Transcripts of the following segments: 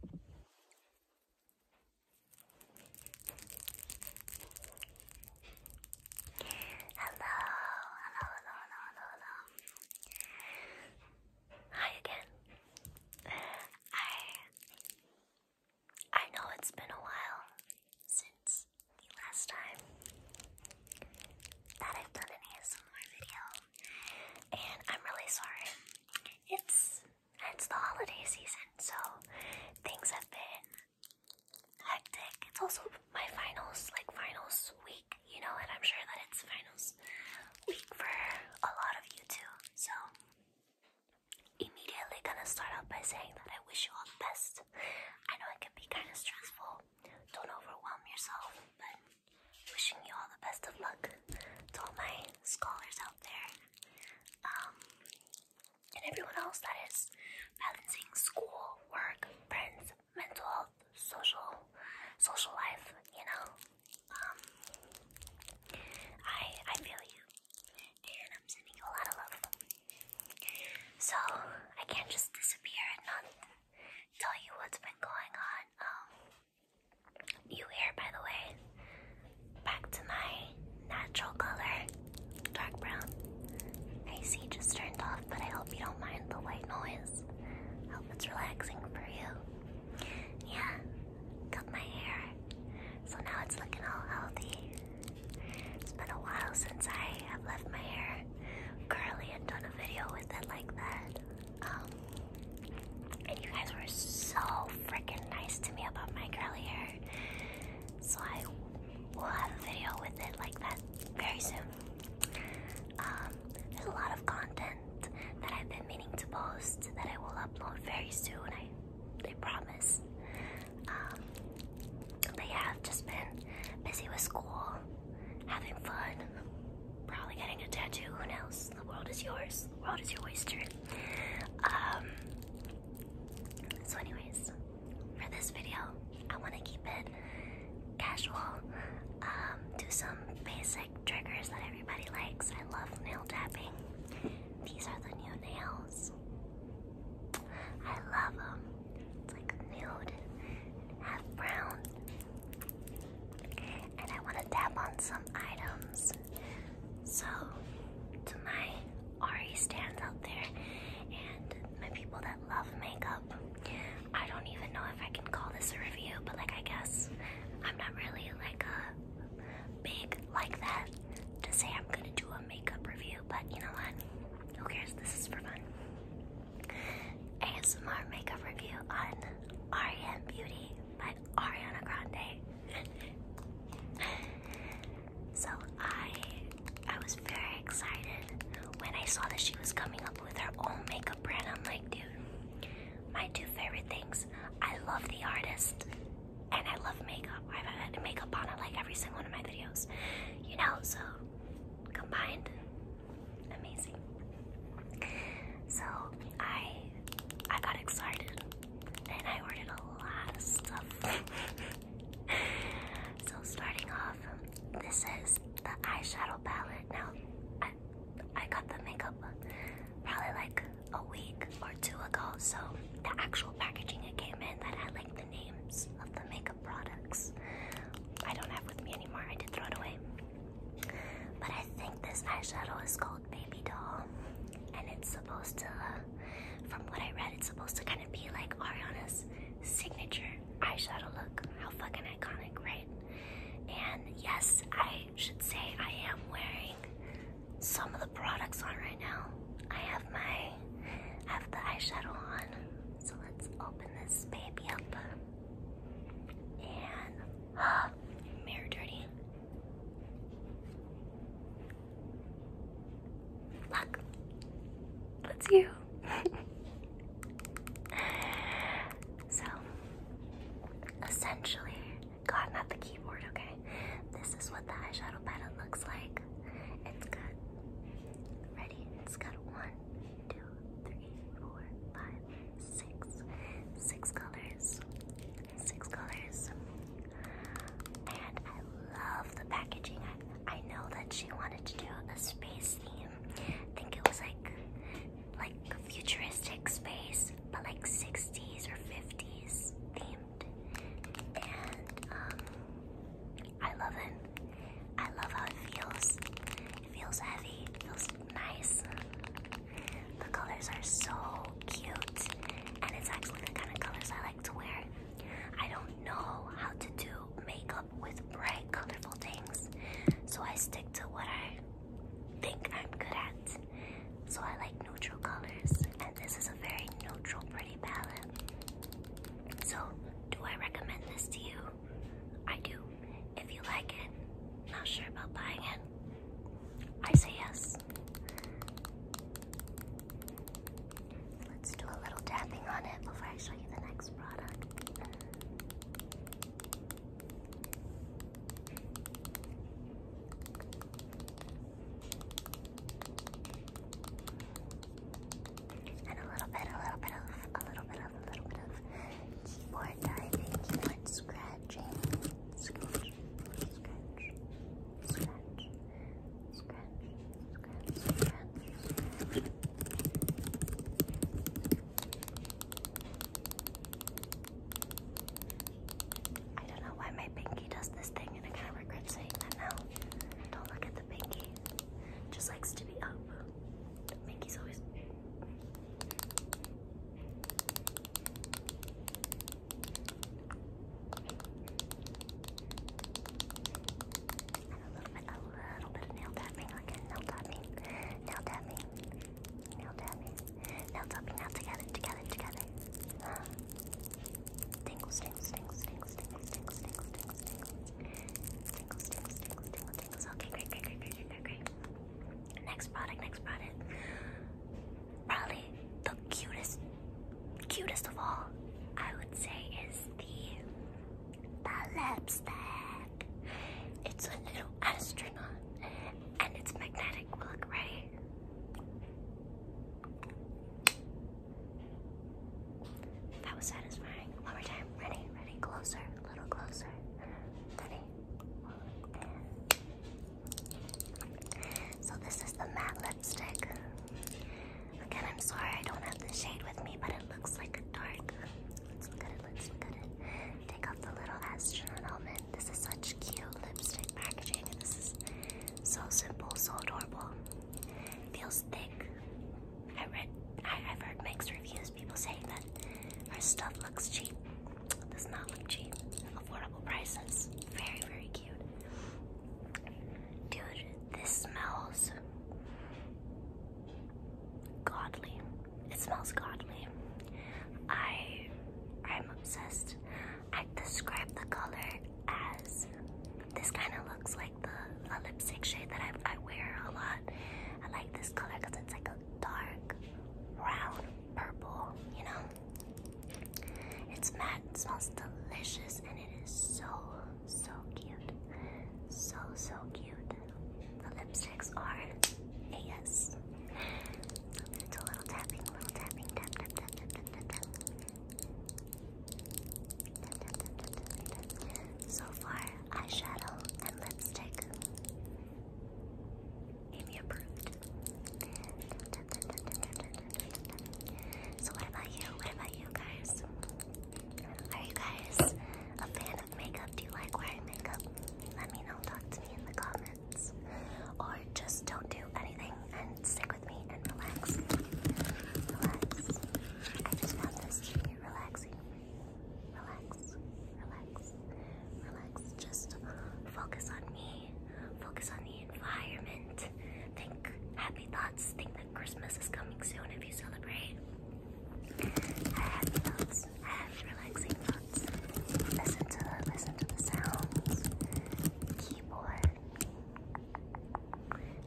Hello, hello, hello, hello, hello, Hi again. I I know it's been a while since the last time that I've done an ASMR video, and I'm really sorry. It's it's the holiday season, so things have been hectic. It's also my finals, like finals week, you know, and I'm sure that it's finals week for a lot of you too. So, immediately gonna start out by saying that I wish you all the best. I know it can be kind of stressful, don't overwhelm yourself, but Wishing you all the best of luck to all my scholars out there, um, and everyone else that is balancing school, work, friends, mental health, social, social life. You know, um, I I feel you, and I'm sending you a lot of love. So I can't just disappear and not tell you what's been going on. Um, you hair, by the way. Back to my natural color, dark brown. I just turned off, but I hope you don't mind the white noise. I hope it's relaxing for you. Yeah, cut my hair. So now it's looking all healthy. It's been a while since I have left my hair curly and done a video with it like that. Um, and you guys were so freaking nice to me about my curly hair. So I will have a video with it like that very soon. Um, there's a lot of content that I've been meaning to post that I will upload very soon. I, I promise. Um, but have just been busy with school, having fun, probably getting a tattoo. Who knows? The world is yours. The world is your oyster. Um. So, anyways, for this video, I want to keep it casual. Um, do some basic triggers that everybody likes. I love nail tapping. These are the new nails. I love them. It's like nude, half brown, and I want to tap on some items. So, to my Ari stands out there and my people that love makeup, I don't even know if I can call this a review, but like, I guess I'm not really like a big like that to say I'm gonna do a makeup review, but you know what? Who cares? This is for fun. ASMR makeup review on Ariane Beauty by Ariana Grande. so I I was very excited when I saw that she was coming up with her own makeup brand. I'm like, dude, my two favorite things. I love the artist and I love makeup. I've had makeup on it like every single one of my videos. You know, so combined, amazing. So I I got excited and I ordered a lot of stuff. so starting off, this is the eyeshadow palette. Now I I got the makeup probably like a week or two ago, so the actual packaging it came in that had like the names of the makeup products. I don't have with me anymore. I did throw it away. But I think this eyeshadow is called Baby Doll, and it's supposed to, from what I read, it's supposed to kind of be like Ariana's signature eyeshadow look. How fucking iconic, right? And yes, I should say I am wearing some of the products on right now. I have my, have the eyeshadow on so let's open this baby up. And ah, mirror dirty. Look, that's you. so, essentially, got not the keyboard, okay? This is what the eyeshadow palette looks like. It's got, ready? It's got one, two, two, three, four, five, six. Six colors. Six colors. And I love the packaging. I, I know that she wanted to do a space theme. I think it was like like futuristic space, but like 60s or 50s themed. And um I love it. I love how it feels. It feels heavy, it feels nice. The colors are so cute, and it's actually the kind of colors I like to wear. I don't know how to do makeup with bright, colorful things, so I stick to what I think I'm good at. So I like neutral colors, and this is a very neutral, pretty palette. So, do I recommend this to you? I do. If you like it, not sure about buying it, I say yes. Let's do a little tapping on it before I show you the next product. And a little bit, a little bit of, a little bit of, a little bit of keyboard diving, keyboard scratching, scratch, scratch, scratch, scratch, scratch, scratch. I don't know why my pinky does this thing, and I kind of regret saying that now. Don't look at the pinky. It just likes to be up. Mickey's always. And a little bit, a little bit of nail tapping again. Nail tapping, nail tapping, nail tapping, nail tapping. Now together, together, together. Tingles, tingles, tingles, tingles, tingles, tingles, tingles, tingles. Okay, great, great, great, great, great, great, Next product, next product. Probably the cutest, cutest of all, I would say, is the the lipstick. It's a little astronaut, and it's magnetic. Look, ready? That was satisfying. One more time. Ready, ready, closer, a little closer. Ready. So this is the matte lipstick. Again, I'm sorry I don't have the shade with me, but it looks like a dark. Let's look at it, let's look at it. Take off the little astronaut helmet. This is such cute lipstick packaging. This is so simple, so adorable. Feels thick, I read, I, have heard mixed reviews. People say that our stuff looks cheap. It does not look cheap. Affordable prices. Very, very cute. Dude, this smells godly. It smells godly. I, I'm obsessed. I describe the color as this kind of looks like the lipstick shade that I, wear a lot. I like this color because it's like a dark brown purple, you know? It's matte, it smells delicious, and it is so, so cute. So, so cute. The lipsticks are AS. i little tapping, little tapping, tap, tap, tap, tap, tap. So far, eyeshadow and lipstick. Amy approved. So what about you? What about you guys? Are you guys a fan of makeup? Do you like wearing makeup? Let me know. Talk to me in the comments. Or just don't do anything and stick with me and relax. Relax. I just found this to be relaxing. Relax. Relax. Relax. Just focus on me. Focus on the environment. Think happy thoughts. Think that Christmas is coming soon if you celebrate. I thoughts. I relaxing thoughts. Listen to listen to the sounds. Keyboard.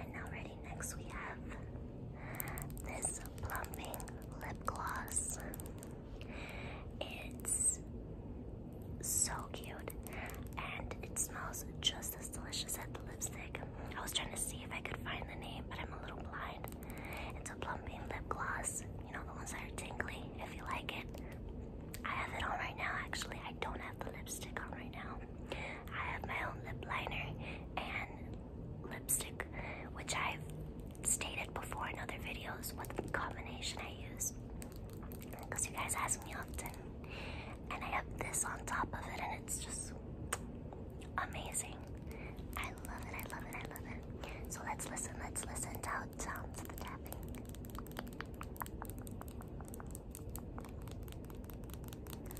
And now ready next we have this plumping lip gloss. It's so cute and it smells just as delicious as the lipstick. I was trying to see if I could find the name, but I'm a little blind. It's a plumping lip gloss. You know the ones that are tingly if you like it. I have it on right now actually. I don't have the lipstick on right now. I have my own lip liner and lipstick, which I've stated before in other videos what combination I use because you guys ask me often. And I have this on top of it, and it's just amazing. I love it, I love it, I love it. So let's listen, let's listen to how it sounds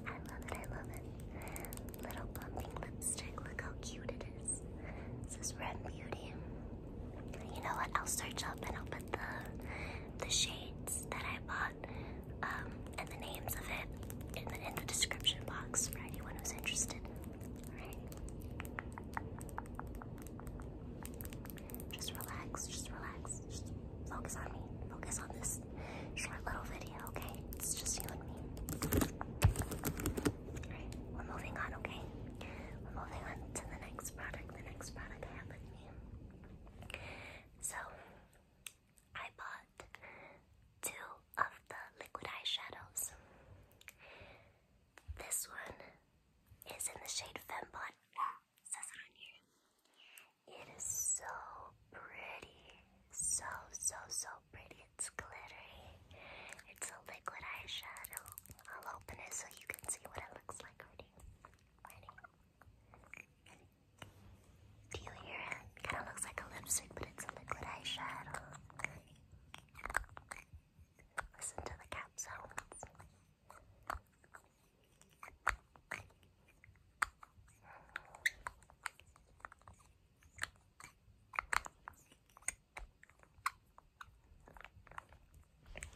I love it, I love it. Little bumping lipstick, look how cute it is. This is Red Beauty. You know what? I'll search up and I'll put the the shades that I bought um, and the names of it in the in the description box for anyone who's interested. Alright. Just relax, just relax. Just focus on me. Focus on this short little video, okay? It's just you and me. we're moving on, okay? We're moving on to the next product. The next product I have with me. So, I bought two of the liquid eyeshadows. This one is in the shade Fembot. says it on here. It is so pretty. So, so, so pretty. It's glittery. It's a liquid eyeshadow. I'll open it so you can see what it looks like. Ready? Ready? Do you hear it? Kind of looks like a lipstick, but it's a liquid eyeshadow. Listen to the cap sounds.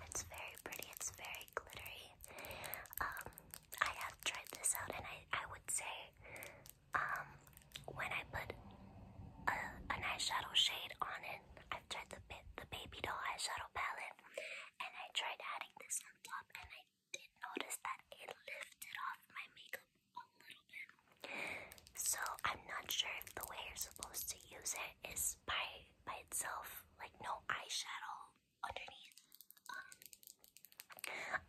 It's very pretty, it's very glittery. Um, I have tried this out and I, I would say um when I put a, an eyeshadow shade on it, I've tried the the baby doll eyeshadow palette and I tried adding this on top and I did notice that it lifted off my makeup a little bit. So I'm not sure if the way you're supposed to use it is by by itself, like no eyeshadow underneath. Um,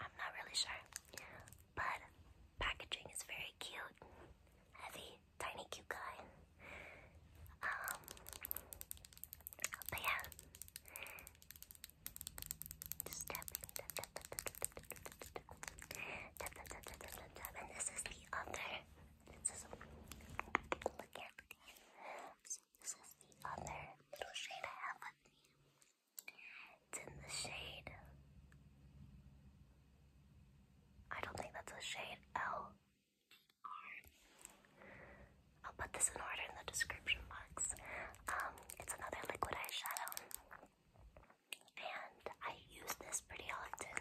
I'm not really sure. But packaging is very cute, heavy, tiny cute guy. Um, but yeah, and this is the other. This is look at this is the other little shade I have It's in the shade. I don't think that's a shade L. I'll put this in order in the description box. Um, it's another liquid eyeshadow, and I use this pretty often.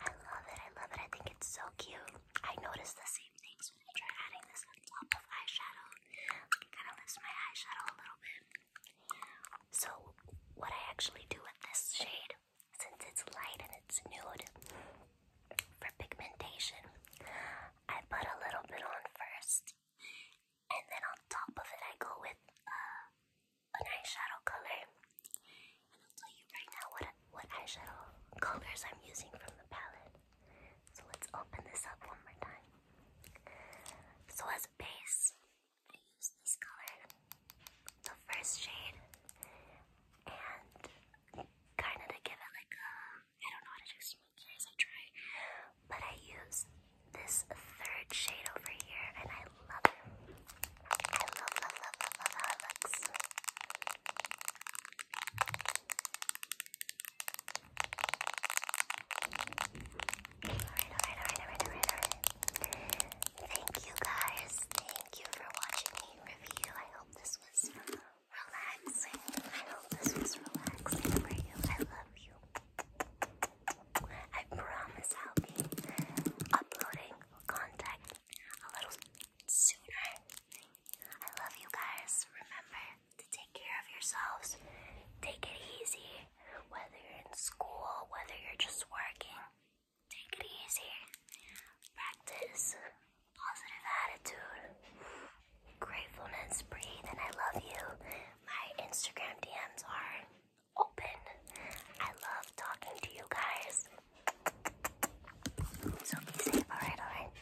I love it, I love it, I think it's so cute. I notice the same things when I try adding this on top of eyeshadow. It kind of lifts my eyeshadow a little bit. So, what I actually do with this shade, since it's light and it's nude, for pigmentation, I put a little bit on first, and then on top of it, I go with uh, an eyeshadow color. And I'll tell you right now what, what eyeshadow colors I'm using from the palette. So, let's open this up one more time. So, as a base, I use this color, the first shade, and kind of to give it like a, I don't know how to as I try, but I use this third shade over here, and I love it. I love, love, love, love, love Alright, alright, alright, alright, alright, alright. Thank you guys. Thank you for watching me review. I hope this was relaxing. I hope this was relaxing for you. I love you. I promise I'll be uploading content a little sooner. I love you guys. Remember to take care of yourselves. Take it easy whether you're in school, whether you're just working. Take it easy. Practice positive attitude, gratefulness, breathe, and I love you. My Instagram DMs are open. I love talking to you guys. So be safe, alright, alright?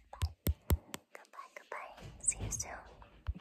Goodbye. Goodbye, goodbye. See you soon.